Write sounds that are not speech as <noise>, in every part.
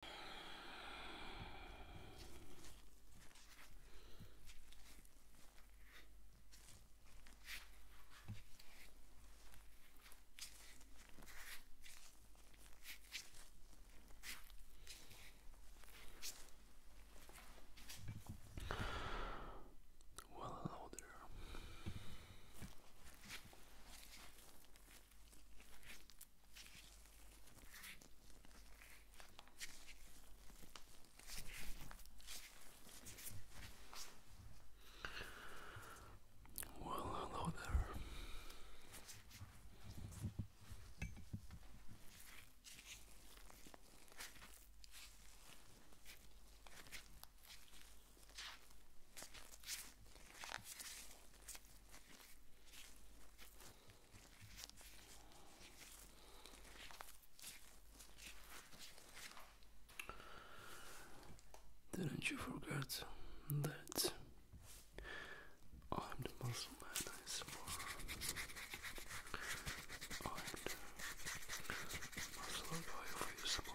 Well, hello there. Well, hello there. Didn't you forget that I'm the muscle man I am the muscle guy for you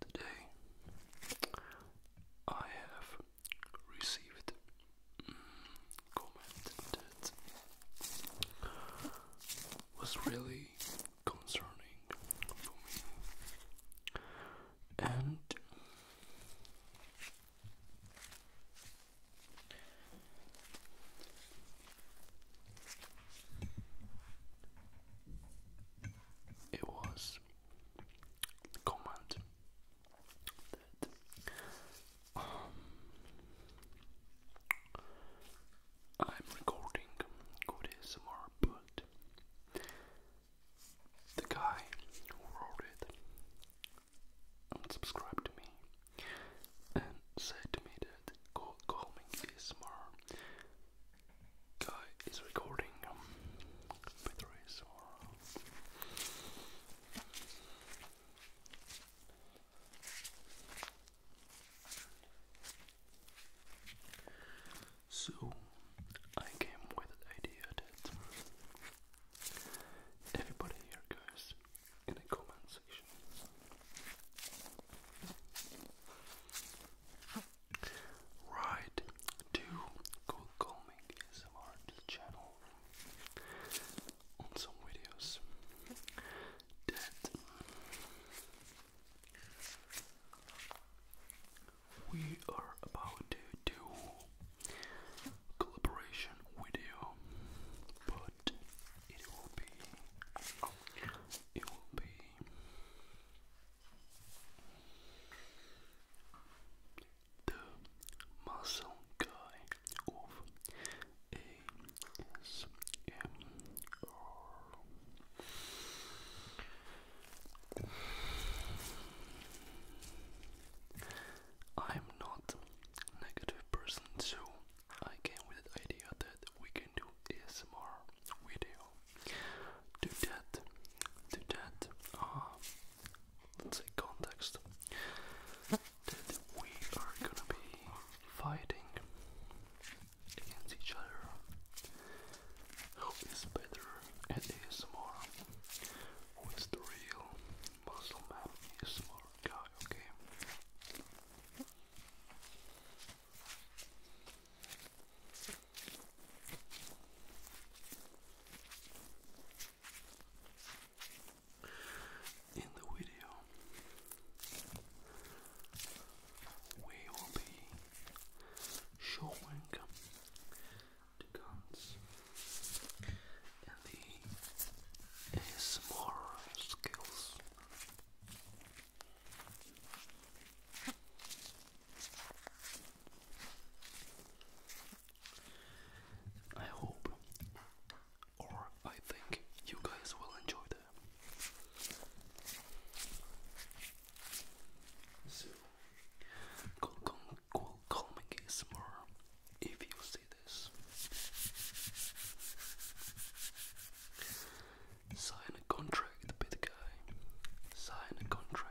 Today I have received mm, comment that was really concerning for me and it was comment that um, I'm recording good ASMR, but the guy who wrote it unsubscribed me and said to me that calming ASMR guy is recording with um, So I came with the idea that Everybody here goes in the comment section. Right to Cool Calming ASMR channel on some videos that we are about to do collaboration video, but it will be it will be the muscle guy of ASMR. I'm not a negative person, so I came with the idea that we can do ASMR video. Do that, do that, uh, let's say context, that we are gonna be fighting against each other. Who is better at ASMR? who is the real muscle man is more guy, okay? In the video, we will be showing Deacons and the ASMR skills. I hope or I think you guys will enjoy them. So, Kong Kong cool calming ASMR if you see this. Sign a contract, bit guy. Sign a contract.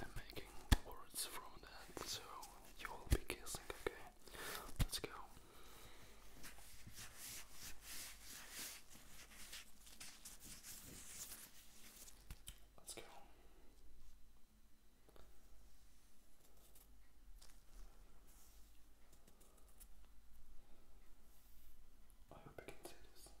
and making words from that, so you will be guessing, okay? Let's go. Let's go. I hope you can see this.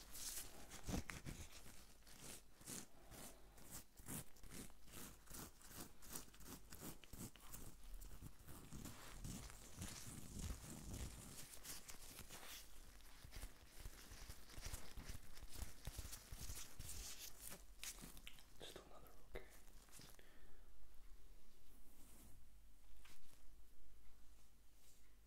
Just another okay. Good.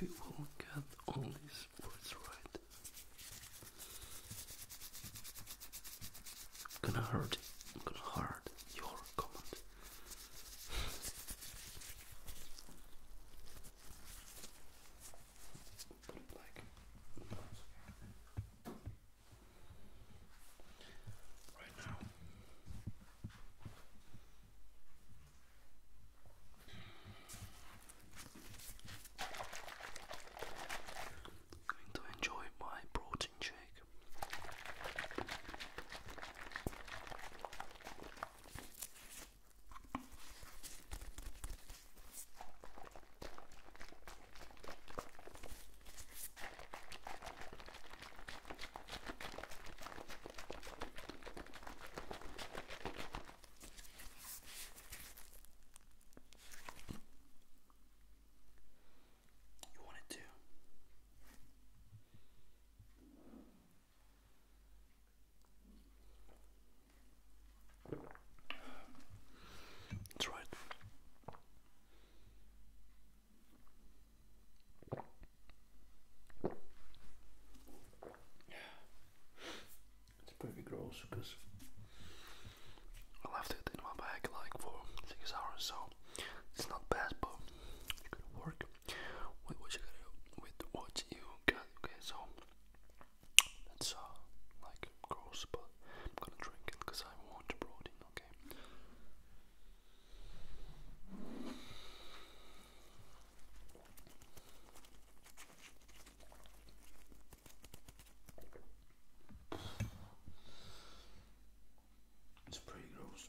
We will get all these words right. I'm gonna hurt. I'm gonna hurt your comment. <sighs> right now. going to enjoy my protein shake. You want it too. That's right. It's pretty gross because I left it in my bag like for six hours, so it's not bad, but work with what you with what you got. Okay, so that's uh, like gross, but I'm gonna drink it because I want the protein, okay? It's pretty gross.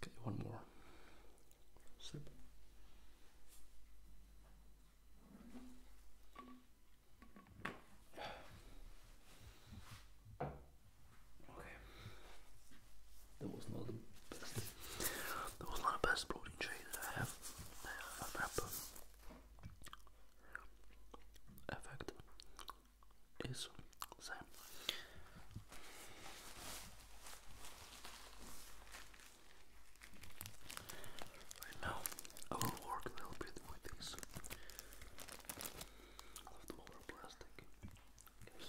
Okay, one more Okay, that was not the best. That was not the best protein shake that I have. I have um, effect. Right now, I will work a little bit with this. I plastic. Yes.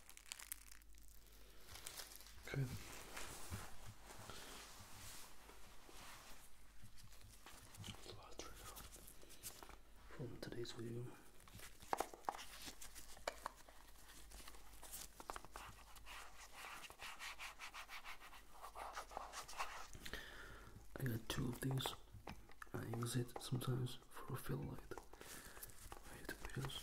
Good. from today's video. I got two of these. I use it sometimes for a fill light. I hate videos.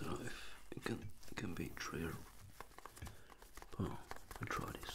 Life it can can be trivial. Oh, i try this.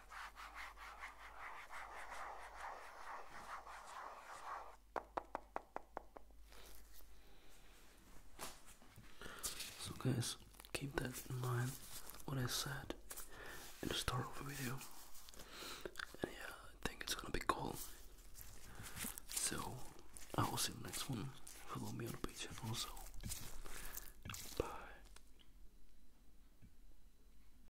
So guys, keep that in mind what I said in the start of the video. And yeah, I think it's gonna be cool. So I will see you the next one. Follow me on the page and also bye.